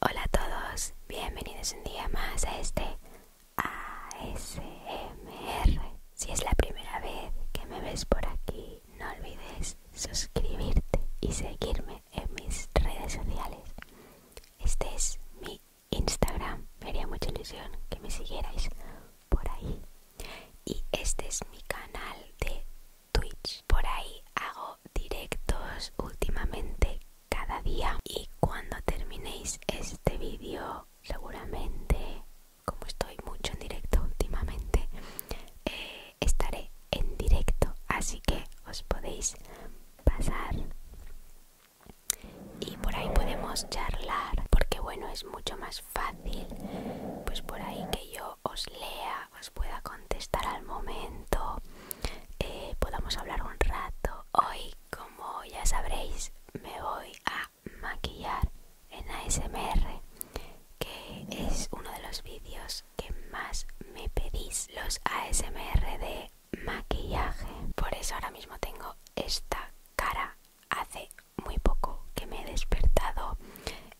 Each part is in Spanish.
Hola a todos, bienvenidos un día más a este ASMR. Si es la primera vez que me ves por aquí, no olvides suscribirte y seguirme en mis redes sociales. Este es mi Instagram, me haría mucha ilusión que me siguierais por ahí. Y este es mi canal de Twitch. Por ahí hago directos últimamente cada día y cuando terminéis este vídeo seguramente como estoy mucho en directo últimamente eh, estaré en directo así que os podéis pasar y por ahí podemos charlar porque bueno es mucho más fácil pues por ahí que yo os lea os pueda contestar al momento, eh, podamos hablar un rato. Hoy, como ya sabréis, me voy a maquillar en ASMR, que es uno de los vídeos que más me pedís, los ASMR de maquillaje. Por eso ahora mismo tengo esta cara. Hace muy poco que me he despertado,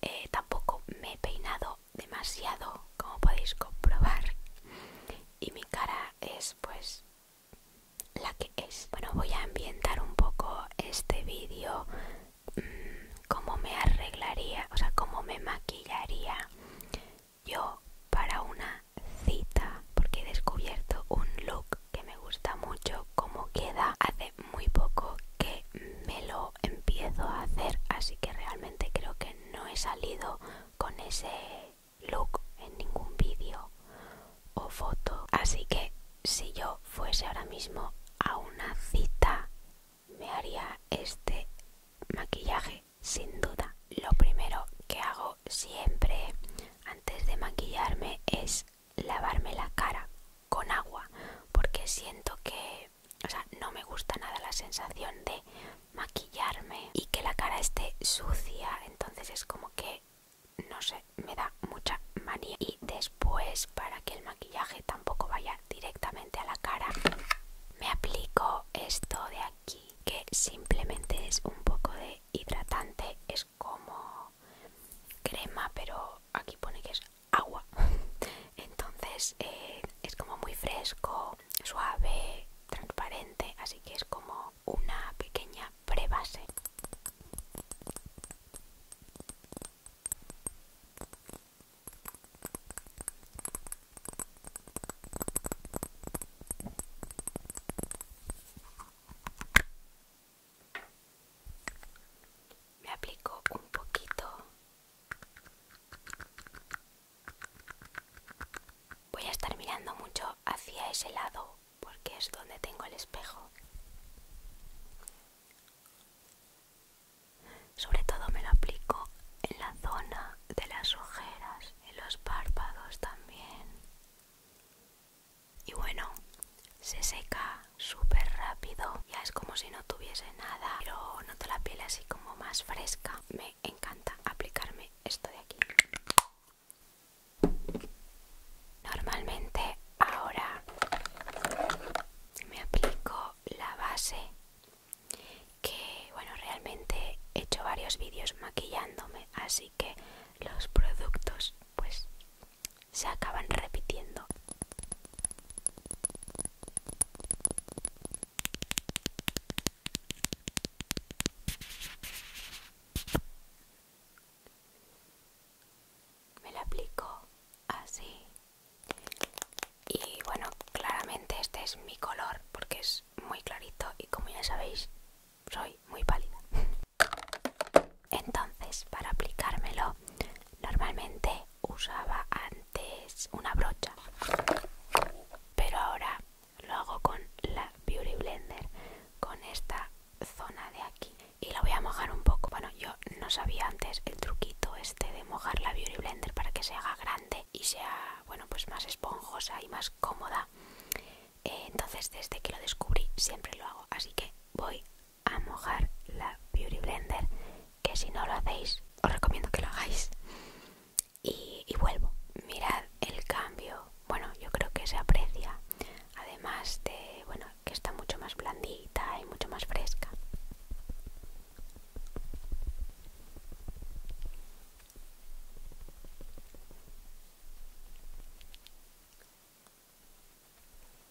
eh, tampoco me he peinado demasiado como podéis comprobar y mi cara es pues la que es bueno voy a ambientar un poco este vídeo mm, cómo me arreglaría o sea cómo me maquillaría yo para una cita porque he descubierto un look que me gusta mucho como queda hace muy poco que me lo empiezo a hacer, así que realmente creo que no he salido con ese look en ningún vídeo o foto. Así que si yo fuese ahora mismo a una cita, me haría este maquillaje sin duda. Lo primero que hago siempre antes de maquillarme es lavarme la cara con agua porque siento que o sea, no me gusta nada la sensación de maquillarme y que la cara esté sucia. Entonces es como que, no sé, me da mucha manía. Y después, para que el maquillaje tampoco vaya directamente a la cara, me aplico esto de aquí, que simplemente es un poco de hidratante. Es como crema, pero aquí pone que es agua. Entonces eh, es como muy fresco suave, transparente, así que es como una pequeña prebase. Me aplico un poquito Voy a estar mirando mucho hacia ese lado porque es donde tengo el espejo. Sobre todo me lo aplico en la zona de las ojeras, en los párpados también. Y bueno, se seca súper rápido. Ya es como si no tuviese nada, pero noto la piel así como más fresca encanta aplicarme esto de aquí. Normalmente ahora me aplico la base que, bueno, realmente he hecho varios vídeos maquillándome, así que los productos pues se acaban repitiendo me la aplico así y bueno claramente este es mi color porque es muy clarito y como ya sabéis soy muy pálida entonces para aplicármelo normalmente usaba es una brocha pero ahora lo hago con la Beauty Blender con esta zona de aquí y la voy a mojar un poco bueno yo no sabía antes el truquito este de mojar la Beauty Blender para que se haga grande y sea bueno pues más esponjosa y más cómoda eh, entonces desde que lo descubrí siempre lo hago así que voy a mojar la Beauty Blender que si no lo hacéis os recomiendo que lo hagáis y, vuelvo. Mirad el cambio, bueno, yo creo que se aprecia, además de, bueno, que está mucho más blandita y mucho más fresca.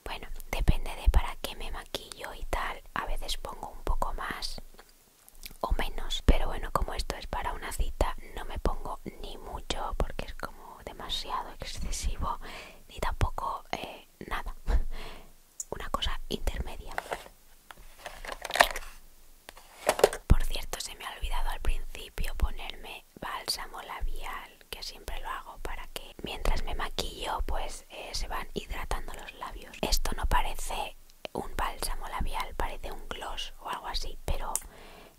Bueno, depende de para qué me maquillo y tal. A veces pongo un poco más o menos pero bueno como esto es para una cita no me pongo ni mucho porque es como demasiado excesivo ni tampoco eh, nada una cosa intermedia por cierto se me ha olvidado al principio ponerme bálsamo labial que siempre lo hago para que mientras me maquillo pues eh, se van hidratando los labios esto no parece un bálsamo labial, parece un gloss o algo así, pero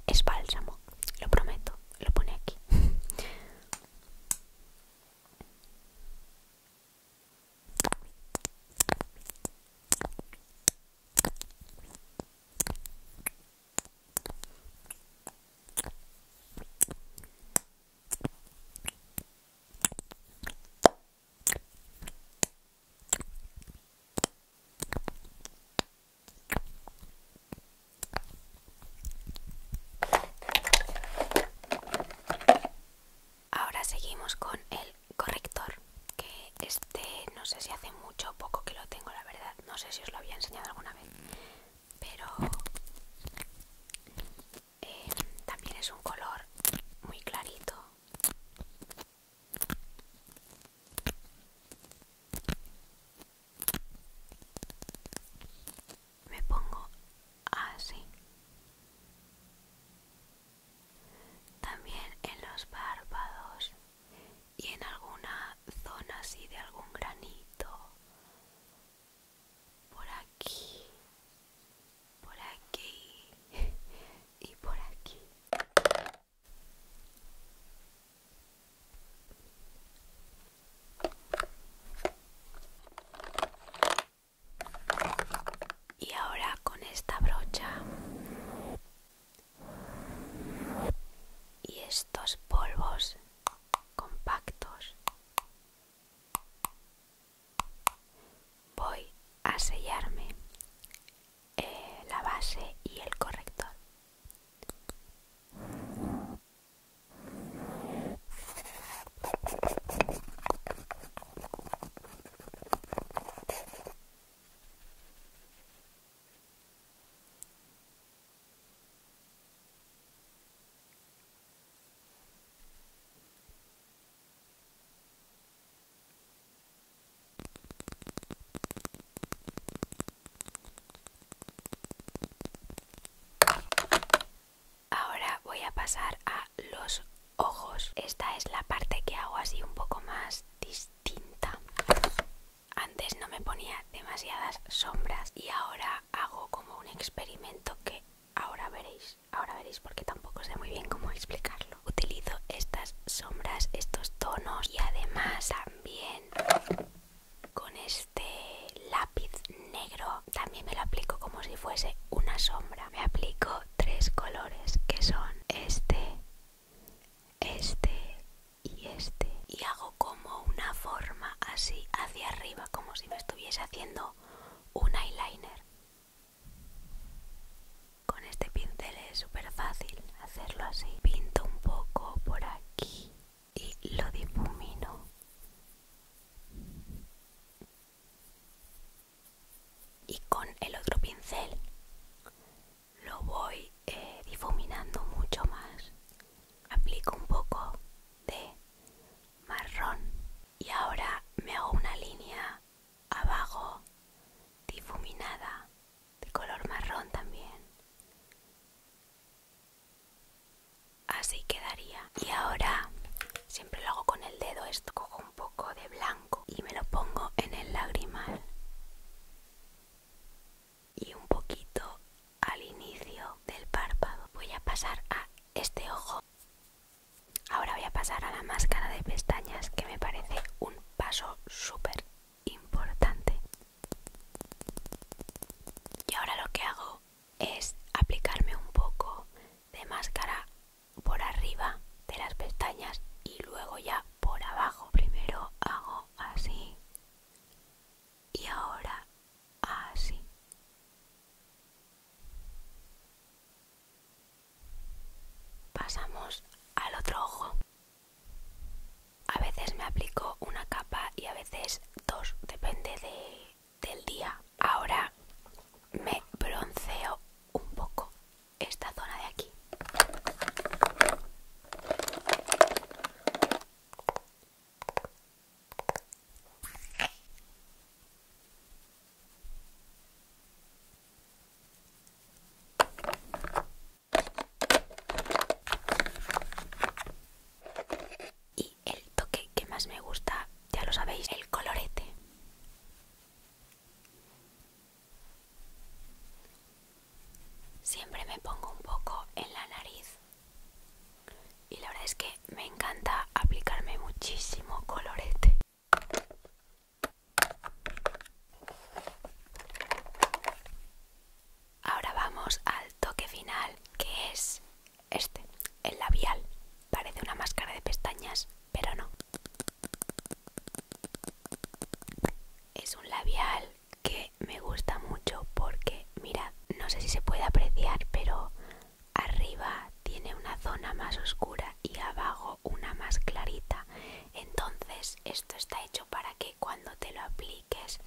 es bálsamo, lo prometo, lo pone aquí. Ahora seguimos con el corrector, que este no sé si hace mucho o poco que lo tengo, la verdad, no sé si os lo había enseñado alguna vez, pero eh, también es un color muy clarito me pongo así también en los párpados y en alguna zona así de algún granito por aquí por aquí y por aquí. Y ahora con esta brocha y estos polvos compactos voy a sellarme eh, la base y el corrector Ahora voy a pasar a los ojos. Esta es la parte que hago así un poco más distinta. Antes no me ponía demasiadas sombras y ahora hago como un experimento que ahora veréis ahora veréis porque tampoco sé muy bien cómo explicarlo. Utilizo estas sombras, estos tonos y además también con este lápiz negro también me lo aplico como si fuese una sombra. Me aplico tres colores que son este, este y este y hago como una forma así hacia arriba como si me estuviese haciendo un eyeliner con este pincel es súper fácil hacerlo así. Pinto un poco por aquí y lo difumino. Y con el otro pincel lo voy eh, difuminando mucho más. Aplico un poco de marrón y ahora me hago una línea abajo difuminada de color marrón también así quedaría y ahora siempre lo hago con el dedo esto cojo un poco de blanco y me lo pongo en el lagrimal y un poquito al inicio del párpado voy a pasar a este ojo Ahora voy a pasar a la máscara de pestañas que me parece un paso súper importante. Y ahora lo que hago es aplicarme un poco de máscara por arriba de las pestañas y luego ya por abajo. Primero hago así y ahora así. Pasamos al otro ojo. A veces me aplico una capa y a veces dos, depende del día. Ahora me bronceo un poco esta zona de aquí. Y el toque que más me gusta, ya lo sabéis, el colorete. Siempre me pongo un poco en la nariz y la verdad es que me encanta aplicarme muchísimo colorete. Ahora vamos al toque final, que es este, el labial. Parece una máscara de pestañas, pero no. Es un labial que me gusta mucho porque, mira, no sé si se puede apreciar, pero arriba tiene una zona más oscura y abajo una más clarita. Entonces esto está hecho para que cuando te lo apliques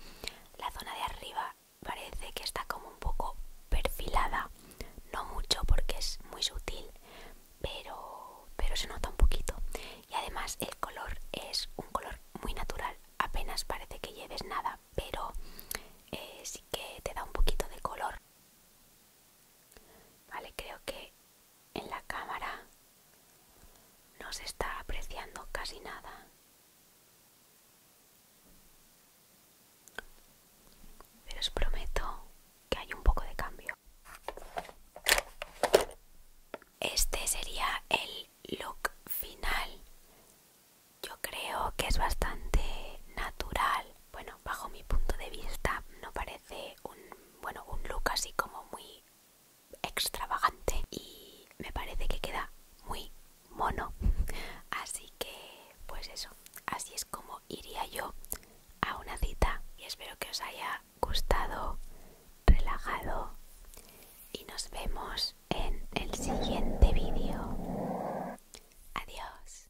la zona de arriba parece que está como un poco perfilada. No mucho porque es muy sutil, pero, pero se nota un poquito. Y además el color es un color muy natural. Apenas parece que lleves nada, pero eh, sí que te da un poquito de color. Vale, creo que en la cámara no se está apreciando casi nada. Pero os prometo que hay un poco de cambio. Este sería el look final. Yo creo que es bastante natural. Bueno, bajo mi punto de vista no parece un, bueno, un look así como muy extravagante y me parece que queda muy mono. Así que, pues eso, así es como iría yo a una cita y espero que os haya gustado, relajado y nos vemos en el siguiente vídeo. Adiós.